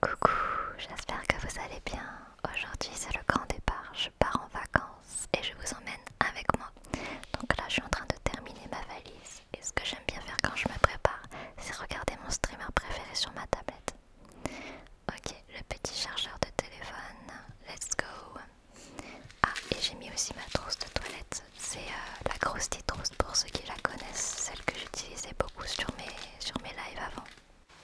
Coucou, j'espère que vous allez bien. Aujourd'hui c'est le grand départ, je pars en vacances et je vous emmène avec moi. Donc là je suis en train de terminer ma valise et ce que j'aime bien faire quand je me prépare c'est regarder mon streamer préféré sur ma tablette. Ok, le petit chargeur de téléphone, let's go. Ah et j'ai mis aussi ma trousse de toilette, c'est euh, la la petite trousse pour ceux qui la connaissent, celle que j'utilisais beaucoup sur mes sur mes lives avant.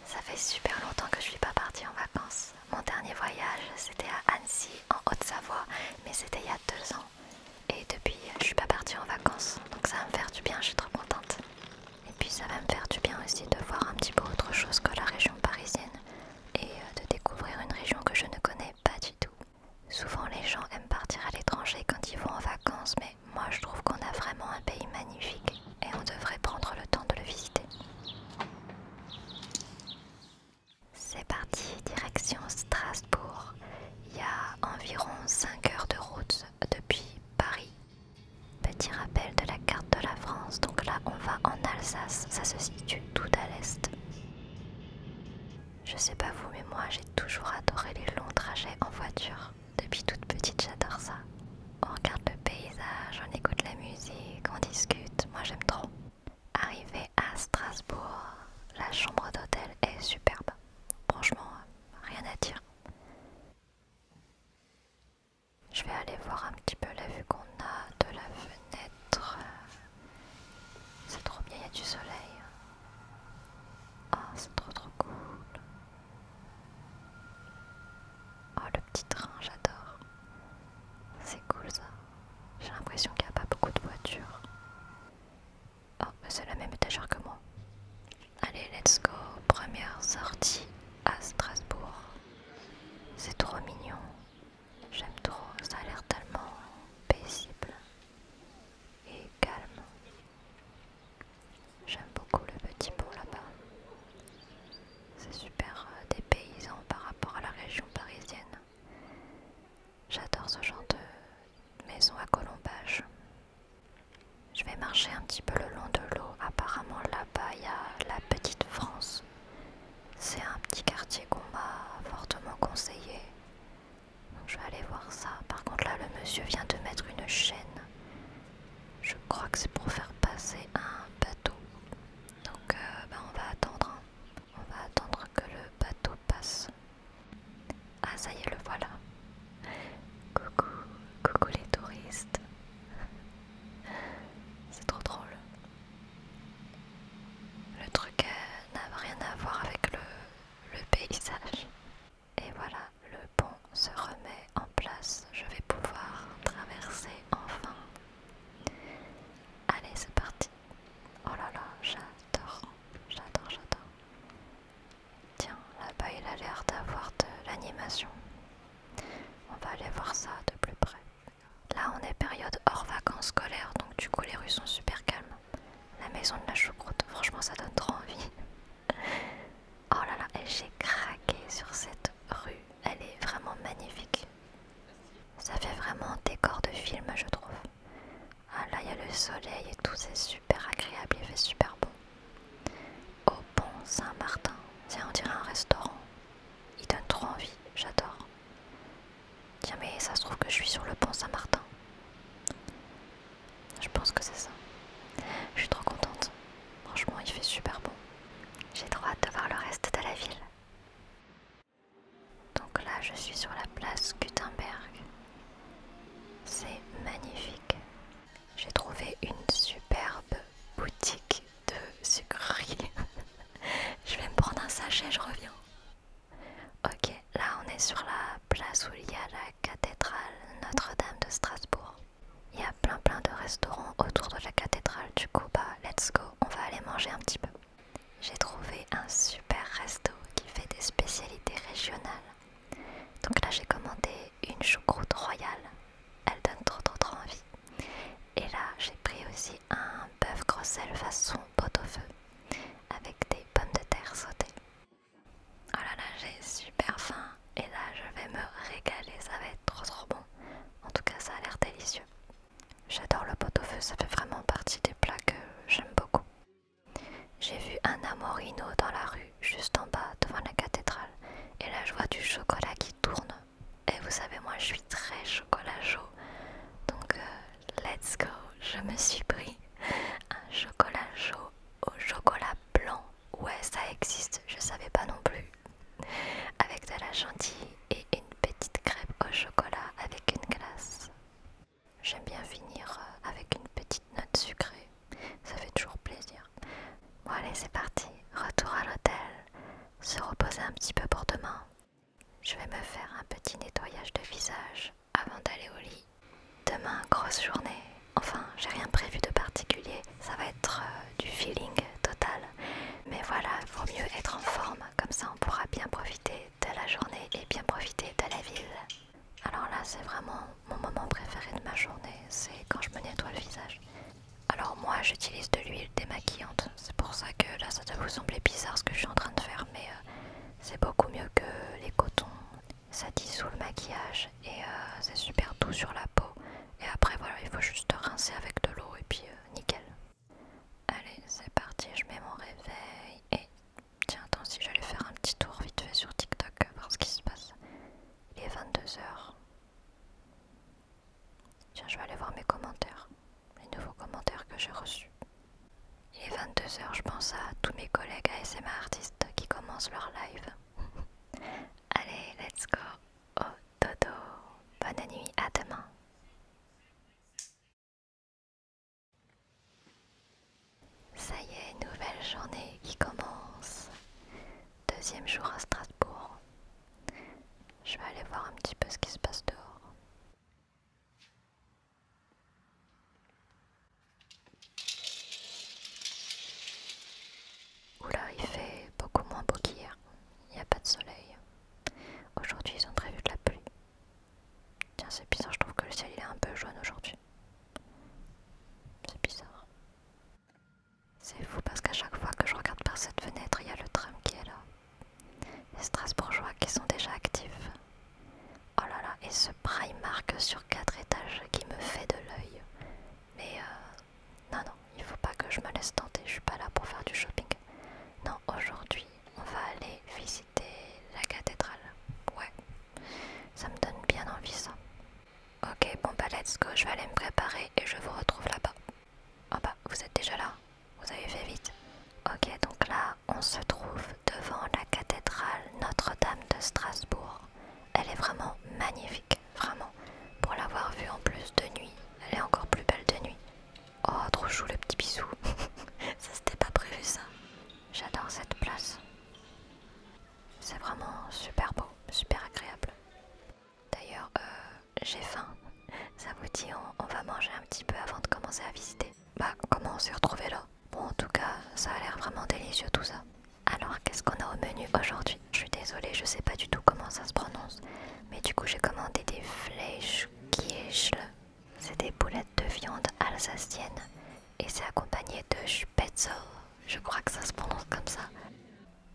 Ça fait super longtemps que je suis pas partie en vacances. Mon dernier voyage, c'était à Annecy, en Haute-Savoie, mais c'était il y a deux ans. Et depuis, je suis pas partie en vacances, donc ça va me faire du bien, je suis trop contente. Et puis ça va me faire du bien aussi de voir un petit peu autre chose que la région parisienne et euh, de découvrir une région que je ne connais pas du tout. Souvent les gens aiment partir à l'étranger quand ils vont en vacances, mais moi je trouve qu'on a vraiment un pays magnifique et on devrait prendre le temps de le visiter. C'est parti, direction Strasbourg. Il y a environ 5 heures de route depuis Paris. Petit rappel de la carte de la France, donc là on va en Alsace, ça se situe tout à l'est. Je sais pas vous, mais moi j'ai toujours adoré les longs trajets en voiture. Depuis toute petite, j'adore ça. On regarde le paysage, on écoute la musique, on discute. Moi, j'aime trop. Arrivé à Strasbourg, la chambre d'hôtel est superbe. Franchement, rien à dire. Je vais aller voir un petit peu la vue qu'on a de la fenêtre. C'est trop bien, il y a du soleil. oh, c'est trop trop cool. Oh, le petit train, j'adore. C'est cool ça. J'ai l'impression qu'il n'y a pas beaucoup de voitures. Oh, c'est la même étagère que moi. Allez, let's go. Première sortie à Strasbourg. C'est trop mignon. J'aime trop. Ça a l'air tellement paisible et calme. J'aime beaucoup le petit pont là-bas. C'est super euh, des paysans par rapport à la région parisienne. J'adore ce genre de maison à colombage. Je vais marcher un petit peu le long de l'eau. Apparemment là-bas il y a la petite France. C'est un petit quartier qu'on m'a fortement conseillé. je vais aller voir ça. Par contre là le monsieur vient de mettre une chaîne. Je crois que c'est pour faire passer un bateau. Donc euh, bah, on va attendre. Hein. On va attendre que le bateau passe. Ah ça y est, le voilà. Coucou, coucou les touristes. C'est trop drôle. Le truc euh, n'a rien à voir avec le paysage. Et voilà, le pont se remet en place. Je vais pouvoir traverser enfin. Allez, c'est parti. Oh là là, j'adore. J'adore, j'adore. Tiens, là-bas, il a l'air d'avoir de l'animation. On va aller voir ça de plus près. Là, on est période hors vacances scolaires, donc du coup, les rues sont super calmes. La maison de la choucroute, franchement, ça donne trop envie. Oh là là, j'ai craqué sur cette rue. Elle est vraiment magnifique. Ça fait vraiment décor de film, je trouve. Ah là, il y a le soleil et tout, c'est super agréable, il fait super beau. Au pont Saint-Martin, tiens, on dirait un restaurant. Il donne trop envie, j'adore. Tiens, mais ça se trouve que je suis sur le pont Saint-Martin. Je pense que c'est ça. Je suis trop contente. Franchement, il fait super bon. J'ai trop hâte de voir le reste de la ville. Donc là, je suis sur la place Gutenberg. C'est magnifique. J'ai trouvé une superbe boutique de sucreries. je vais me prendre un sachet, je reviens. Ok, là on est sur la place où il y a la cathédrale Notre-Dame de Strasbourg. Il y a plein plein de restaurants autour de la cathédrale, du coup bah let's go, on va aller manger un petit peu. J'ai trouvé un super resto qui fait des spécialités régionales. Donc là j'ai commandé une choucroute royale, elle donne trop trop trop envie. Et là j'ai pris aussi un bœuf sel façon pot au feu avec des pommes de terre sautées. Oh là là, j'ai super faim et là je vais me régaler, ça va être trop trop bon. En tout cas, ça a l'air délicieux. J'adore le pot au feu, ça fait vraiment partie des plats que j'aime beaucoup. J'ai vu un amorino dans la rue, juste en bas, devant la cathédrale. Et là, je vois du chocolat qui tourne. Et vous savez, moi, je suis très chocolat chaud. Donc, euh, let's go. Je me suis pris un chocolat chaud au chocolat blanc. Ouais, ça existe, je savais pas non plus. Avec de la chantilly et une petite crêpe au chocolat avec une glace. J'aime bien finir euh, avec une petite note sucrée, ça fait toujours plaisir. Bon allez, c'est parti, retour à l'hôtel, se reposer un petit peu pour demain. Je vais me faire un petit nettoyage de visage avant d'aller au lit Demain, grosse journée. Enfin, j'ai rien prévu de particulier. Ça va être euh, du feeling total. Mais voilà, il vaut mieux être en forme. Comme ça, on pourra bien profiter de la journée et bien profiter de la ville. Alors là, c'est vraiment mon moment préféré de ma journée. C'est quand je me nettoie le visage. Alors moi, j'utilise de l'huile démaquillante. C'est pour ça que là, ça doit vous sembler bizarre ce que je suis en train de faire. Mais euh, c'est beaucoup mieux que les cotons ça dissout le maquillage et euh, c'est super doux sur la peau. Et après voilà, il faut juste rincer avec de l'eau et puis euh, nickel. Allez, c'est parti, je mets mon réveil. Et tiens, attends, si j'allais faire un petit tour vite fait sur TikTok, voir ce qui se passe. Il est 22h. Tiens, je vais aller voir mes commentaires, les nouveaux commentaires que j'ai reçus. Il est 22h, je pense à tous mes collègues ASMA artistes qui commencent leur live. Allez, let's go au oh, dodo. Bonne nuit, à demain. Ça y est, nouvelle journée qui commence. Deuxième jour à Strasbourg. Je vais aller voir un petit peu ce qui se passe dehors. Oula, il fait beaucoup moins beau qu'hier. Il n'y a pas de soleil. Aujourd'hui, ils ont prévu de la pluie. Tiens, c'est bizarre, je trouve que le ciel est un peu jaune aujourd'hui. C'est bizarre. C'est fou parce qu'à chaque fois que je regarde par cette fenêtre, il y a le tram qui est là. Les Strasbourgeois qui sont déjà actifs. Oh là là, et ce Primark sur quatre étages qui me fait de l'œil. Mais euh, non, non, il faut pas que je me laisse tenter, je suis pas là pour faire du shopping. Non, aujourd'hui, on va aller visiter la cathédrale. Ouais, ça me donne bien envie ça. Ok, bon bah let's go, je vais aller me préparer et je vous retrouve là-bas. Oh bah, vous êtes déjà là Vous avez fait vite Ok, donc là, on se trouve devant la cathédrale Notre-Dame de Strasbourg elle est vraiment magnifique, vraiment. Pour l'avoir vue en plus de nuit, elle est encore plus belle de nuit. Oh, trop chou le petit bisou. ça, c'était pas prévu ça. J'adore cette place. C'est vraiment super beau, super agréable. D'ailleurs, euh, j'ai faim. Ça vous dit, on, on va manger un petit peu avant de commencer à visiter. Bah, comment on s'est retrouvé là Bon, en tout cas, ça a l'air vraiment délicieux tout ça. Alors, qu'est-ce qu'on a au menu aujourd'hui Je suis désolée, je sais pas du tout comment ça se prononce. Mais du coup, j'ai commandé des flèches C'est des boulettes de viande alsacienne. Et c'est accompagné de spätzle. Je crois que ça se prononce comme ça.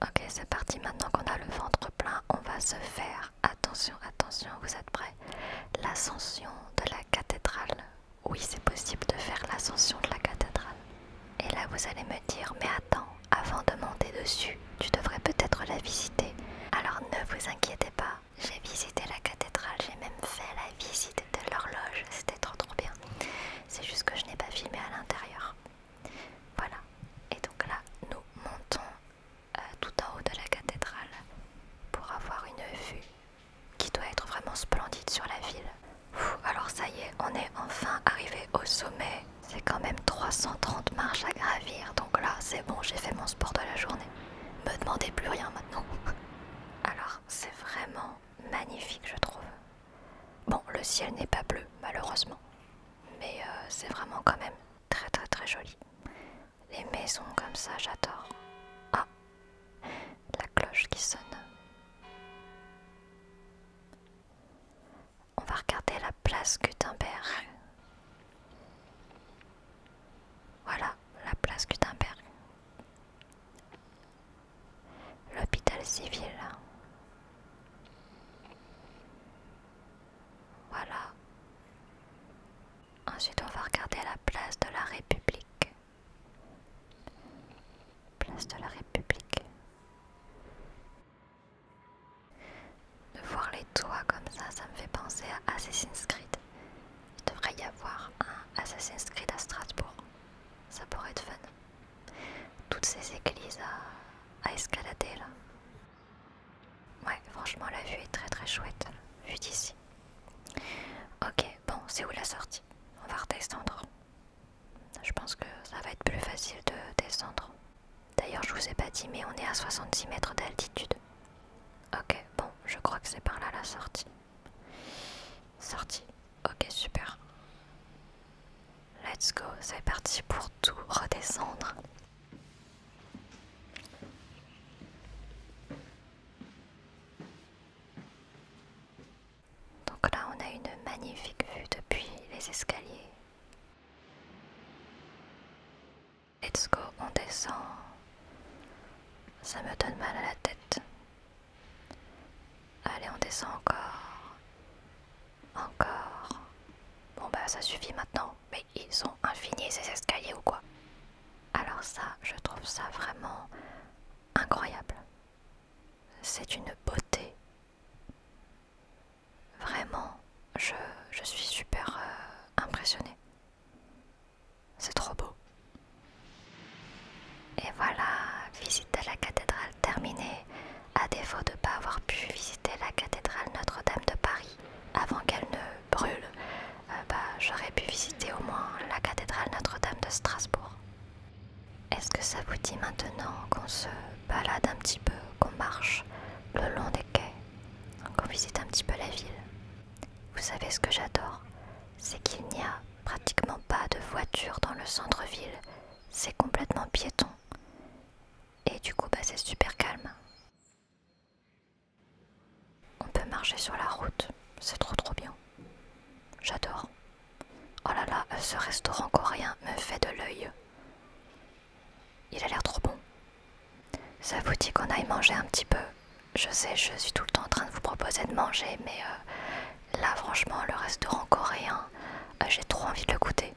Ok, c'est parti. Maintenant qu'on a le ventre plein, on va se faire. Attention, attention, vous êtes prêts L'ascension de la cathédrale. Oui, c'est possible de faire l'ascension de la cathédrale. Et là, vous allez me dire, mais attends, avant de monter dessus, tu devrais peut-être la visiter. Alors ne vous inquiétez pas, j'ai visité la cathédrale, j'ai même fait la visite de l'horloge, c'était trop trop bien. C'est juste que je n'ai pas filmé à l'intérieur. Voilà, et donc là, nous montons euh, tout en haut de la cathédrale pour avoir une vue qui doit être vraiment splendide sur la ville alors ça y est, on est enfin arrivé au sommet. C'est quand même 330 marches à gravir, donc là c'est bon, j'ai fait mon sport de la journée. ne Me demandez plus rien maintenant. Alors c'est vraiment magnifique je trouve. Bon, le ciel n'est pas bleu malheureusement, mais euh, c'est vraiment quand même très très très joli. Les maisons comme ça, j'adore. Ah, la cloche qui sonne. On va regarder la place Gutenberg. Voilà, la place Gutenberg. L'hôpital civil. Voilà. Ensuite, on va regarder la place de la République. Place de la République. De voir les toits comme ça, ça me fait penser à Assassin's Creed. Il devrait y avoir un Assassin's Creed à Strasbourg. Ça pourrait être fun. Toutes ces églises à, escalader là. Ouais, franchement la vue est très très chouette, vue d'ici. Ok, bon, c'est où la sortie On va redescendre. Je pense que ça va être plus facile de descendre. D'ailleurs, je vous ai pas dit, mais on est à 66 mètres d'altitude. Ok, bon, je crois que c'est par là la sortie. Sortie. Ok, super. Let's go, c'est parti pour tout redescendre. Donc là, on a une magnifique vue depuis les escaliers. Let's go, on descend. Ça me donne mal à la tête. Allez, on descend encore. Encore. Bon bah ça suffit maintenant. Mais ils ont infinis ces escaliers ou quoi Alors ça, je trouve ça vraiment incroyable. C'est une beauté Vraiment, je, suis super euh, impressionnée. C'est trop beau. Et voilà, visite de la cathédrale terminée, à défaut de ne pas avoir pu visiter la cathédrale Notre-Dame de Paris avant qu'elle ne brûle, euh, bah, j'aurais pu visiter au moins la cathédrale Notre-Dame de Strasbourg. Est-ce que ça vous dit maintenant qu'on se balade un petit peu, qu'on marche le long des quais, qu'on visite un petit peu la ville Vous savez ce que j'adore C'est qu'il n'y a pratiquement pas de voiture dans le centre-ville. C'est complètement piéton. Et du coup, bah, c'est super calme. On peut marcher sur la route. C'est trop trop bien. J'adore. Oh là là, ce restaurant coréen me fait de l'œil. Il a l'air trop bon. Ça vous dit qu'on aille manger un petit peu. Je sais, je suis tout le temps en train de vous proposer de manger, mais euh, là franchement, le restaurant coréen, euh, j'ai trop envie de le goûter.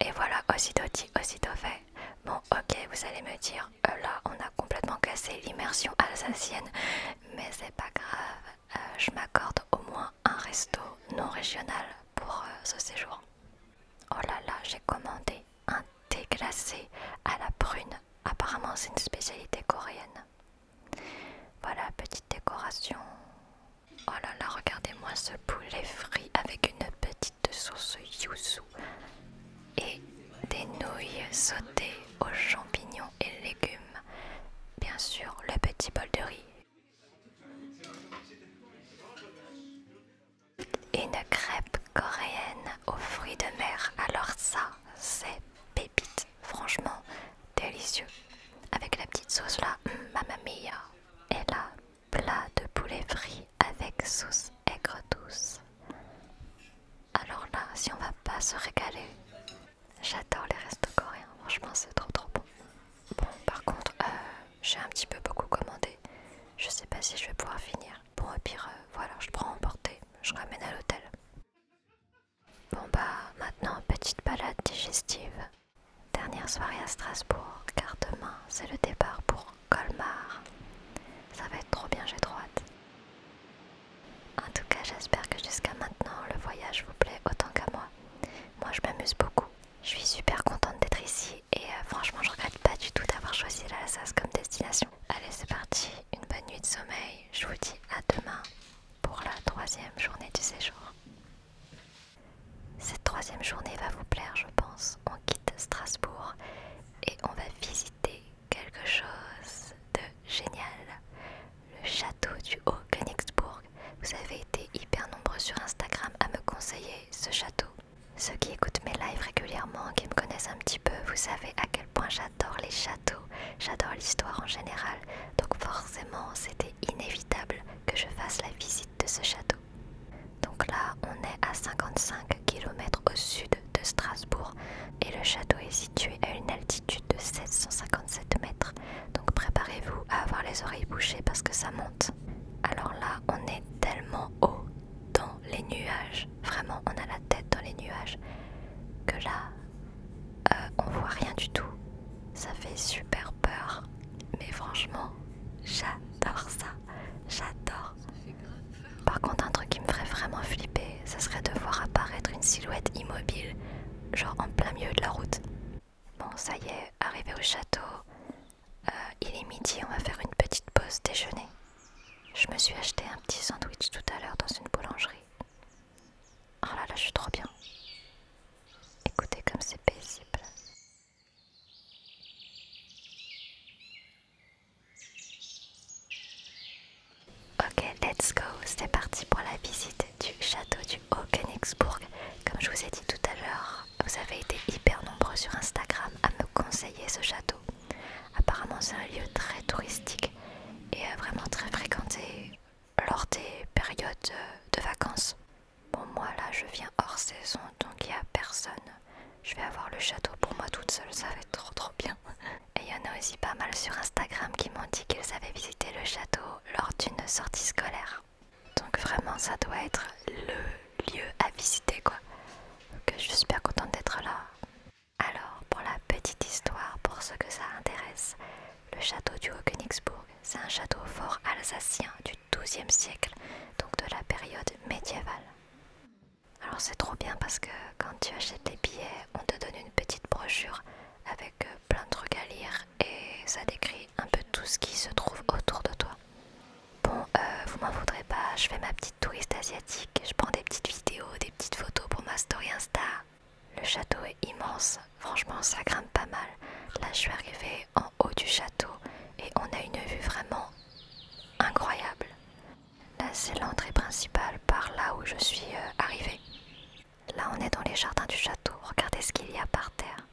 Et voilà, aussitôt dit, aussitôt fait. Bon, ok, vous allez me dire, euh, là on a complètement cassé l'immersion alsacienne, mais c'est pas grave, je m'accorde au moins un resto non régional pour euh, ce séjour. Oh là là, j'ai commandé un thé glacé à la prune. Apparemment, c'est une spécialité coréenne. Voilà, petite décoration. Oh là là, regardez-moi ce poulet frit avec une petite sauce yuzu et des nouilles sautées aux champignons et légumes. Bien sûr, le petit bol de riz une crêpe coréenne aux fruits de mer. Alors ça, c'est pépite. Franchement, délicieux. Avec la petite sauce là, hum, mamma mia. Et là, plat de poulet frit avec sauce aigre douce. Alors là, si on va pas se régaler, J'adore les restos coréens, franchement c'est trop trop bon. Bon par contre euh, j'ai un petit peu beaucoup commandé, je sais pas si je vais pouvoir finir. Bon au pire euh, voilà je prends en portée, je ramène à l'hôtel. Bon bah maintenant petite balade digestive. Dernière soirée à Strasbourg car demain c'est le départ pour Colmar. Ça va être trop bien, j'ai trop En tout cas, j'espère que jusqu'à maintenant, le voyage vous plaît autant qu'à moi moi. je m'amuse beaucoup. Je suis super contente d'être ici et euh, franchement je regrette pas du tout d'avoir choisi l'Alsace comme destination. Allez c'est parti, une bonne nuit de sommeil. Je vous dis à demain pour la troisième journée du séjour. Cette troisième journée va vous plaire je pense. On quitte Strasbourg et on va visiter quelque chose de génial le château du haut königsburg Vous avez été hyper nombreux sur Instagram à me conseiller ce château. Ceux qui écoutent mes lives régulièrement, qui me connaissent un petit peu, vous savez à quel point j'adore les châteaux, j'adore l'histoire en général, donc forcément c'était inévitable que je fasse la visite de ce château. Donc là on est à 55 km au sud de Strasbourg et le château est situé à une altitude de 757 mètres donc préparez-vous à avoir les oreilles bouchées parce que ça monte. Alors là, on est tellement haut dans les nuages. Vraiment, on a la tête dans les nuages. Que là, euh, on voit rien du tout. Ça fait super peur. Mais franchement, j'adore ça. J'adore. Par contre, un truc qui me ferait vraiment flipper, ça serait de voir apparaître une silhouette immobile, genre en plein milieu de la route. Bon, ça y est, arrivé au château, euh, il est midi, on va faire une petite pause déjeuner. Je me suis acheté un petit sandwich tout à l'heure dans une boulangerie. Oh là là, je suis trop bien. Écoutez comme c'est paisible. Ok, let's go, c'est parti pour la visite du château du haut königsburg Comme je vous ai dit tout à l'heure, vous avez été hyper nombreux sur Instagram à me conseiller ce château. Apparemment, c'est un lieu très touristique et euh, vraiment très fréquenté lors des périodes euh, de vacances. Bon, moi là, je viens hors saison, donc il n'y a personne. Je vais avoir le château pour moi toute seule, ça va être trop trop bien. Et il y en a aussi pas mal sur Instagram qui m'ont dit qu'ils avaient visité le château lors d'une sortie scolaire. Donc vraiment ça doit être le lieu à visiter quoi. Donc je suis super contente d'être là. Alors pour la petite histoire, pour ceux que ça intéresse, le château du Haut-Königsbourg, c'est un château fort alsacien du XIIe siècle, donc de la période médiévale. Alors c'est trop bien parce que quand tu achètes les billets, on te donne une petite brochure avec euh, plein de trucs à lire et ça décrit un peu tout ce qui se trouve autour de toi. Bon, euh, vous m'en voudrez pas, je fais ma petite touriste asiatique, je prends des petites vidéos, des petites photos pour ma story Insta. Le château est immense, franchement ça grimpe pas mal. Là je suis arrivée en haut du château et on a une vue vraiment incroyable. Là c'est l'entrée principale par là où je suis euh, arrivée. Là, on est dans les jardins du château. Regardez ce qu'il y a par terre.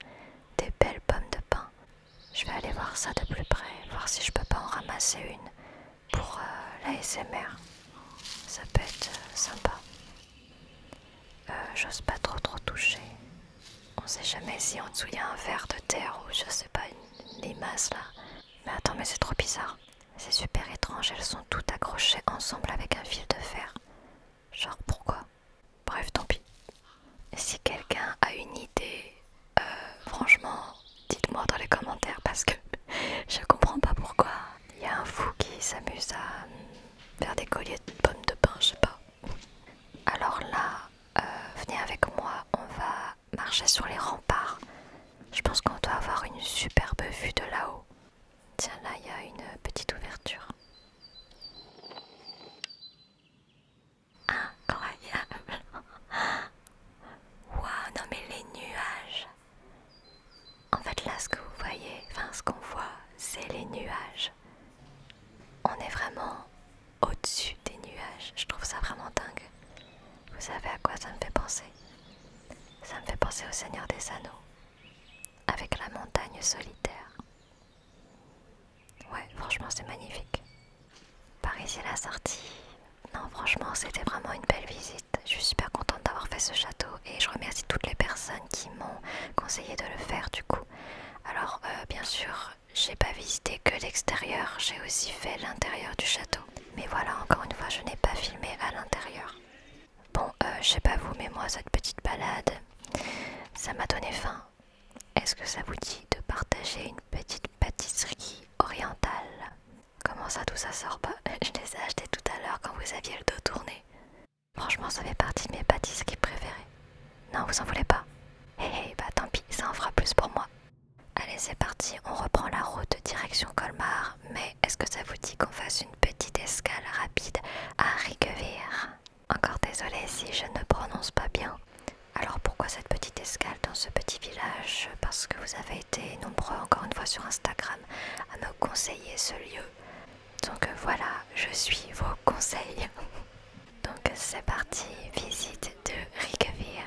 Des belles pommes de pin. Je vais aller voir ça de plus près, voir si je peux pas en ramasser une pour euh, l'ASMR, Ça peut être euh, sympa. Euh, j'ose pas trop trop toucher. On sait jamais si en dessous il y a un verre de terre ou je sais pas, une limace là. Mais attends, mais c'est trop bizarre. C'est super étrange, elles sont toutes accrochées ensemble avec un fil de fer. Genre pourquoi Bref, tant pis. Si quelqu'un a une idée, euh, franchement, dites-moi dans les commentaires parce que je comprends pas pourquoi. Il y a un fou qui s'amuse à faire des colliers de pommes de pain, je sais pas. Alors là, euh, venez avec moi, on va marcher sur les remparts. Je pense qu'on doit avoir une superbe vue de là-haut. Tiens là, il y a une petite ouverture. Incroyable Waouh, non mais les nuages En fait là, ce que vous voyez, enfin ce qu'on voit, c'est les nuages. On est vraiment au-dessus des nuages. Je trouve ça vraiment dingue. Vous savez à quoi ça me fait penser Ça me fait penser au Seigneur des Anneaux avec la montagne solitaire. Ouais, franchement, c'est magnifique. Paris ici, la sortie. Non, franchement, c'était vraiment une belle visite. Je suis super contente d'avoir fait ce château et je remercie toutes les personnes qui m'ont conseillé de le faire du coup. Alors, euh, bien sûr, j'ai pas visité que l'extérieur, j'ai aussi fait l'intérieur du château. Mais voilà, encore une fois, je n'ai pas filmé à l'intérieur. Bon, euh, je sais pas vous, mais moi, cette petite balade, ça m'a donné faim. Est-ce que ça vous dit de partager une petite pâtisserie orientale Comment ça, tout ça sort pas bah, Je les ai achetées tout à l'heure quand vous aviez le dos tourné. Franchement, ça fait partie de mes pâtisseries préférées. Non, vous en voulez pas Eh eh, hé, bah tant pis, ça en fera plus pour moi. Allez, c'est parti, on reprend la route direction Colmar, mais est-ce que ça vous dit qu'on fasse une petite escale rapide à Riguevire encore désolée si je ne prononce pas bien. Alors pourquoi cette petite escale dans ce petit village Parce que vous avez été nombreux encore une fois sur Instagram à me conseiller ce lieu. Donc voilà, je suis vos conseils. Donc c'est parti, visite de Rikevir.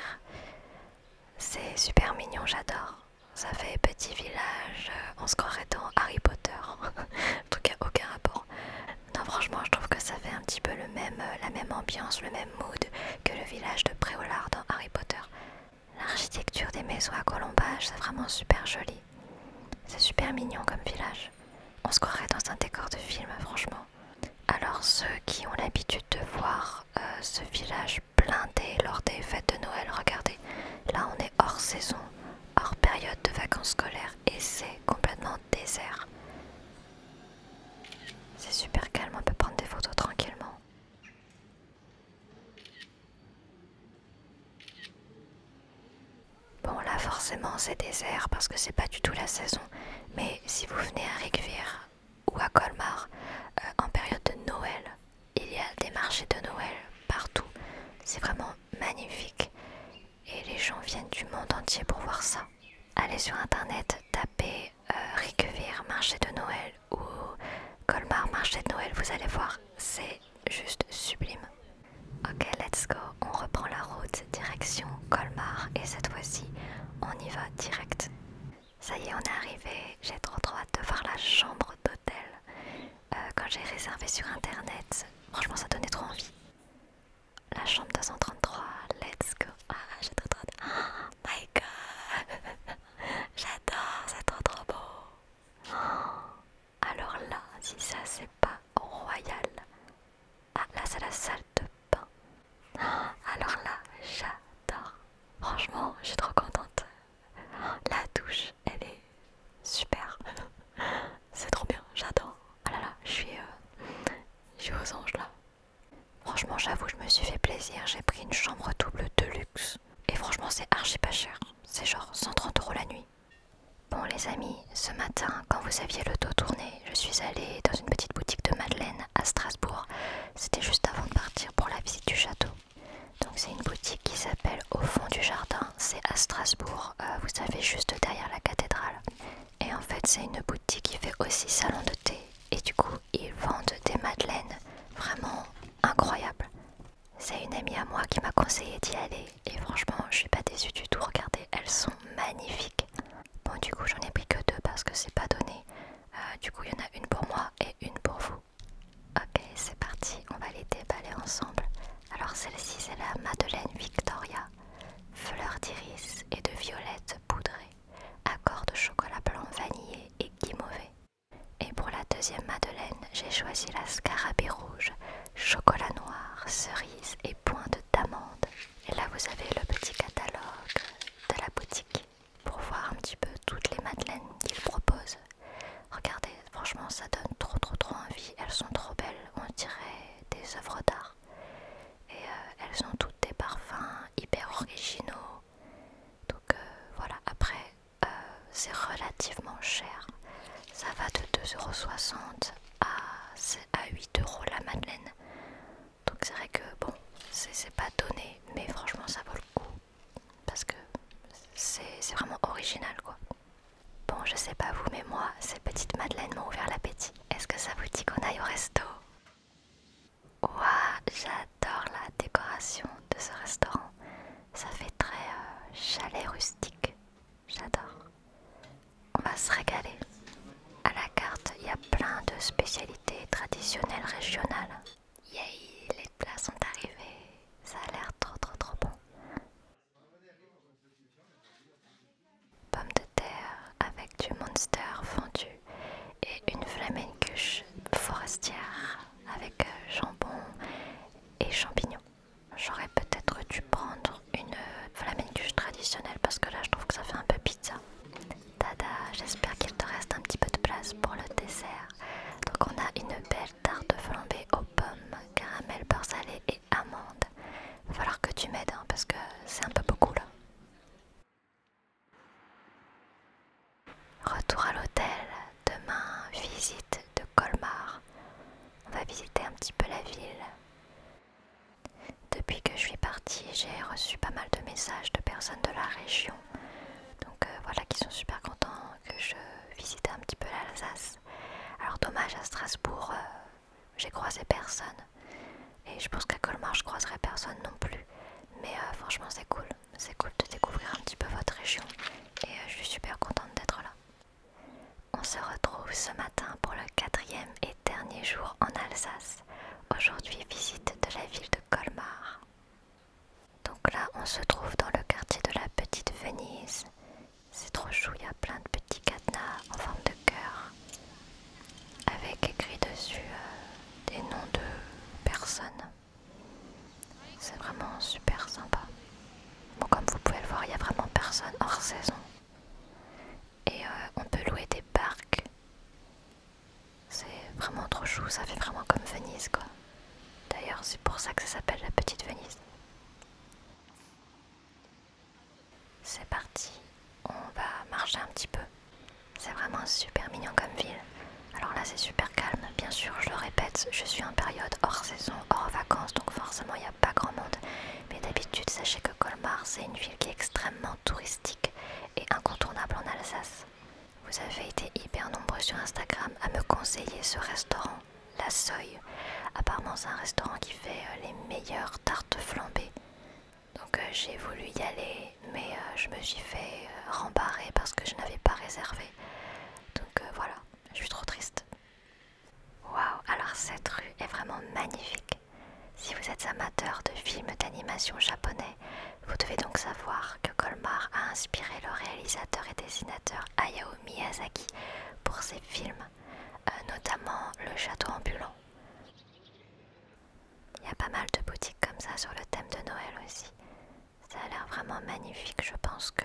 C'est super mignon, j'adore. Ça fait petit village, on euh, se croirait dans Harry Potter. en tout cas aucun rapport. Non franchement je trouve que ça fait un petit peu le même, euh, la même ambiance, le même mood que le village de Préolard dans Harry Potter. L'architecture des maisons à colombage c'est vraiment super joli. C'est super mignon comme village. On se croirait dans un décor de film franchement. Alors ceux qui ont l'habitude de voir euh, ce village blindé lors des fêtes de Noël, regardez, là on est hors saison hors période de vacances scolaires et c'est complètement désert. C'est super calme, on peut prendre des photos tranquillement. Bon là forcément c'est désert parce que c'est pas du tout la saison, mais si vous venez à Rigvir ou à Colmar euh, en période de Noël, il y a des marchés de Noël partout. C'est vraiment magnifique et les gens viennent du monde entier pour voir ça. Allez sur internet, tapez euh, marché de Noël ou Colmar marché de Noël, vous allez voir, c'est juste sublime. Ok, let's go, on reprend la route direction Colmar et cette fois-ci, on y va direct. Ça y est, on est arrivé, j'ai trop trop hâte de voir la chambre d'hôtel. Euh, quand j'ai réservé sur internet. Franchement, ça donnait trop envie. La chambre 233, let's go. Ah, ah my god! J'adore, c'est trop trop beau. alors là, si ça c'est pas royal. Ah, là c'est la salle de bain. Ah, alors là, j'adore. Franchement, je suis trop contente. La douche, elle est super. C'est trop bien, j'adore. Ah là là, je suis, euh, je aux anges là. Franchement, j'avoue, je me suis fait plaisir. J'ai pris une chambre double de luxe. Et franchement, c'est archi pas cher. C'est genre 130 euros la nuit. Bon, les amis, ce matin, quand vous aviez le dos tourné, je suis allée dans une petite boutique de Madeleine à Strasbourg. C'était juste avant de partir pour la visite du château. Donc, c'est une boutique qui s'appelle Au fond du jardin, c'est à Strasbourg, euh, vous savez, juste derrière la cathédrale. Et en fait, c'est une boutique qui fait aussi salon de thé. Et du coup, ils vendent des madeleines vraiment incroyables. C'est une amie à moi qui m'a conseillé d'y aller. Et franchement, je suis pas déçue du tout. Regardez, elles sont magnifiques. Bon, du coup, j'en ai pris que deux parce que c'est pas donné. Euh, du coup, il y en a une pour moi et une pour vous. Ok, c'est parti, on va les déballer ensemble. Alors celle-ci c'est la Madeleine Victoria, fleur d'iris et de violette poudrée, accord de chocolat blanc vanillé et guimauvé. Et pour la deuxième Madeleine, j'ai choisi la scarabée rouge, chocolat noir, cerise et pointe d'amande. Et là vous avez le petit catalogue de la boutique pour voir un petit peu toutes les Madeleines qu'ils proposent. Regardez, franchement ça donne trop trop trop envie, elles sont trop belles, on dirait des œuvres d'art. Et euh, elles ont toutes des parfums hyper originaux. Donc euh, voilà, après euh, c'est relativement cher. Ça va de 2,60€ à, à 8€ la madeleine. Donc c'est vrai que bon, c'est pas donné, mais franchement ça vaut le coup. Parce que c'est vraiment original quoi. Bon, je sais pas vous, mais moi, ces petites madeleines m'ont ouvert l'appétit. Est-ce que ça vous dit qu'on aille au resto Ouah, j'adore la décoration de ce restaurant. Ça fait très euh, chalet rustique. J'adore. On va se régaler. À la carte, il y a plein de spécialités traditionnelles régionales. Yay, les plats sont arrivés. Ça a l'air trop trop trop bon pomme de terre avec du monster fendu et une flamencuche forestière avec euh, jambon et champignons. J'aurais peut-être dû prendre une euh, flamencuche traditionnelle parce que là je trouve que ça fait un peu pizza. Tada, j'espère qu'il te reste un petit peu de place pour le dessert. Donc on a une belle tarte flambée aux pommes, caramel beurre et amande. Va falloir que tu m'aides hein, parce que c'est un peu beaucoup là. Retour à l'hôtel, demain visite de Colmar. On va visiter un petit peu la ville. Depuis que je suis partie, j'ai reçu pas mal de messages de personnes de la région. Donc euh, voilà qui sont super contents que je visite un petit peu l'Alsace. Alors dommage, à Strasbourg, euh, j'ai croisé personne. Et je pense qu'à Colmar, je croiserai personne non plus. Mais euh, franchement, c'est cool. C'est cool de découvrir un petit peu votre région. Et euh, je suis super contente d'être là. On se retrouve ce matin pour le quatrième et dernier jour en Alsace. Aujourd'hui, visite de la ville de Colmar. Donc là, on se trouve dans le quartier de la Petite Venise. C'est trop chou, il y a plein de petits cadenas en forme de cœur avec écrit dessus euh, des noms de personnes. C'est vraiment super sympa. Bon, comme vous pouvez le voir, il n'y a vraiment personne hors saison. Et euh, on peut louer des barques. C'est vraiment trop chou, ça fait vraiment comme Venise quoi. D'ailleurs, c'est pour ça que ça s'appelle la petite Venise. C'est parti, on va marcher un petit peu. C'est vraiment super mignon comme ville. Alors là c'est super calme, bien sûr je le répète, je suis en période hors saison, hors vacances, donc forcément il n'y a pas grand monde. Mais d'habitude sachez que Colmar c'est une ville qui est extrêmement touristique et incontournable en Alsace. Vous avez été hyper nombreux sur Instagram à me conseiller ce restaurant. La Soy. Apparemment, c'est un restaurant qui fait euh, les meilleures tartes flambées. Donc, euh, j'ai voulu y aller, mais euh, je me suis fait rembarrer parce que je n'avais pas réservé. Donc, voilà, je suis trop triste. Waouh, alors cette rue est vraiment magnifique. Si vous êtes amateur de films d'animation japonais, vous devez donc savoir que Colmar a inspiré le réalisateur et dessinateur Hayao Miyazaki pour ses films euh, notamment le château ambulant. Il y a pas mal de boutiques comme ça sur le thème de Noël aussi. Ça a l'air vraiment magnifique. Je pense que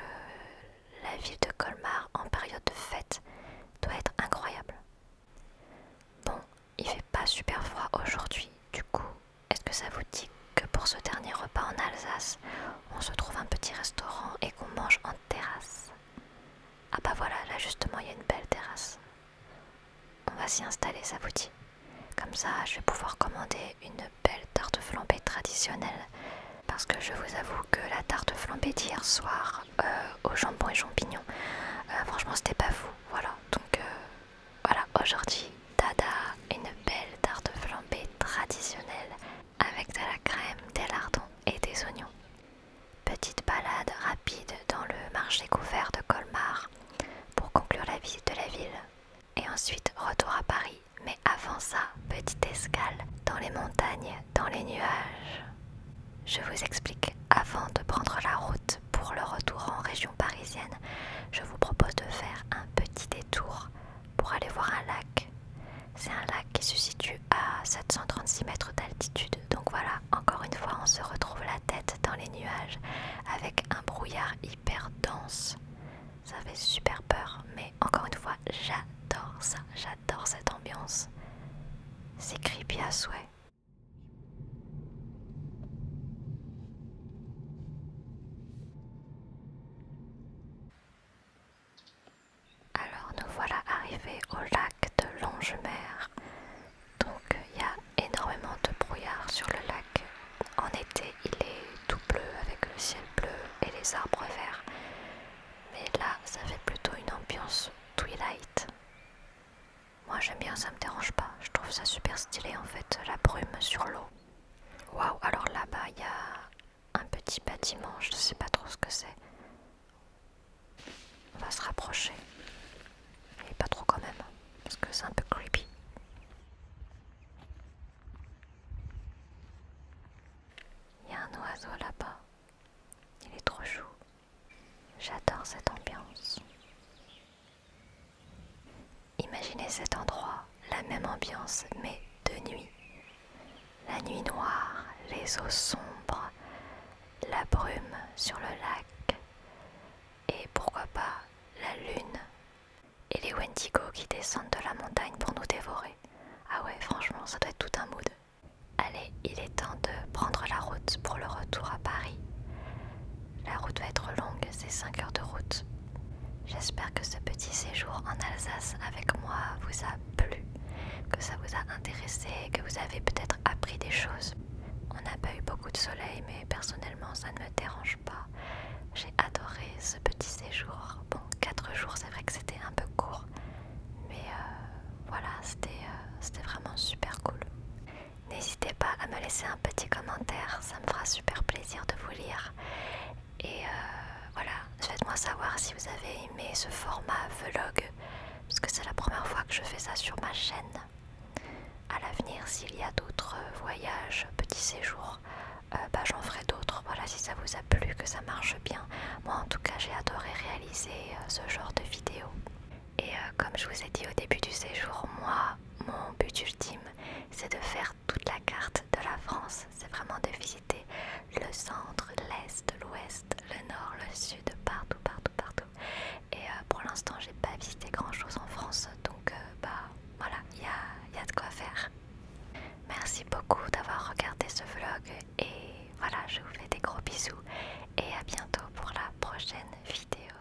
la ville de Colmar en période de fête doit être incroyable. Bon, il fait pas super froid aujourd'hui. Du coup, est-ce que ça vous dit que pour ce dernier repas en Alsace, on se trouve un petit restaurant et qu'on mange en terrasse ah bah voilà, là justement il y a une belle terrasse. On va s'y installer, ça vous dit. Comme ça, je vais pouvoir commander une belle tarte flambée traditionnelle. Parce que je vous avoue que la tarte flambée d'hier soir euh, au jambon et champignons, euh, franchement c'était pas fou. Voilà, donc euh, voilà, aujourd'hui, tada, une belle tarte flambée traditionnelle avec de la crème, des lardons et des oignons. Petite balade rapide dans le marché couvert de Colmar pour conclure la visite de la ville. Et ensuite retour à Paris, mais avant ça, petite escale dans les montagnes, dans les nuages. Je vous explique avant de prendre la route pour le retour en région parisienne, je vous propose de faire un petit détour pour aller voir un lac c'est un lac qui se situe à 736 mètres d'altitude. Donc voilà, encore une fois, on se retrouve la tête dans les nuages avec un brouillard hyper dense. Ça fait super peur, mais encore une fois, j'adore ça, j'adore cette ambiance. C'est creepy à souhait. Alors nous voilà arrivés au lac de Longemer. Donc il y a énormément de brouillard sur le lac. En été il est tout bleu avec le ciel bleu et les arbres verts. Mais là ça fait plutôt une ambiance twilight. Moi j'aime bien, ça me dérange pas. Je trouve ça super stylé en fait, la brume sur l'eau. Waouh, alors là-bas il y a un petit bâtiment, je ne sais pas trop ce que c'est. On va se rapprocher. Et pas trop quand même, parce que c'est un peu creepy. Il y a un oiseau là-bas. Il est trop chou. J'adore cette ambiance. Imaginez cet endroit, la même ambiance, mais de nuit la nuit noire, les eaux sombres, la brume sur le lac, et pourquoi pas la lune et les Wendigo qui descendent de la montagne pour nous dévorer. Ah ouais, franchement, ça doit être tout un mood. Allez, il est temps de prendre la route pour le retour à Paris. La route va être longue, c'est 5 heures de route. J'espère que ce petit séjour en Alsace avec moi vous a plus, que ça vous a intéressé, que vous avez peut-être appris des choses. On n'a pas eu beaucoup de soleil, mais personnellement, ça ne me dérange pas. J'ai adoré ce petit séjour. Bon, 4 jours, c'est vrai que c'était un peu court, mais euh, voilà, c'était euh, c'était vraiment super cool. N'hésitez pas à me laisser un petit commentaire, ça me fera super plaisir de vous lire. Et euh, voilà, faites-moi savoir si vous avez aimé ce format vlog, parce que c'est la première fois que je fais ça sur ma chaîne. À l'avenir, s'il y a d'autres euh, voyages, petits séjours, euh, bah, j'en ferai d'autres. Voilà, si ça vous a plu, que ça marche bien. Moi, en tout cas, j'ai adoré réaliser euh, ce genre de vidéo. Et comme je vous ai dit au début du séjour, moi, mon but ultime, c'est de faire toute la carte de la France. C'est vraiment de visiter le centre, l'est, l'ouest le nord, le sud, partout, partout, partout. Et euh, pour l'instant, j'ai pas visité grand chose en France, donc euh, bah voilà, il y a de quoi faire. Merci beaucoup d'avoir regardé ce vlog et voilà, je vous fais des gros bisous et à bientôt pour la prochaine vidéo.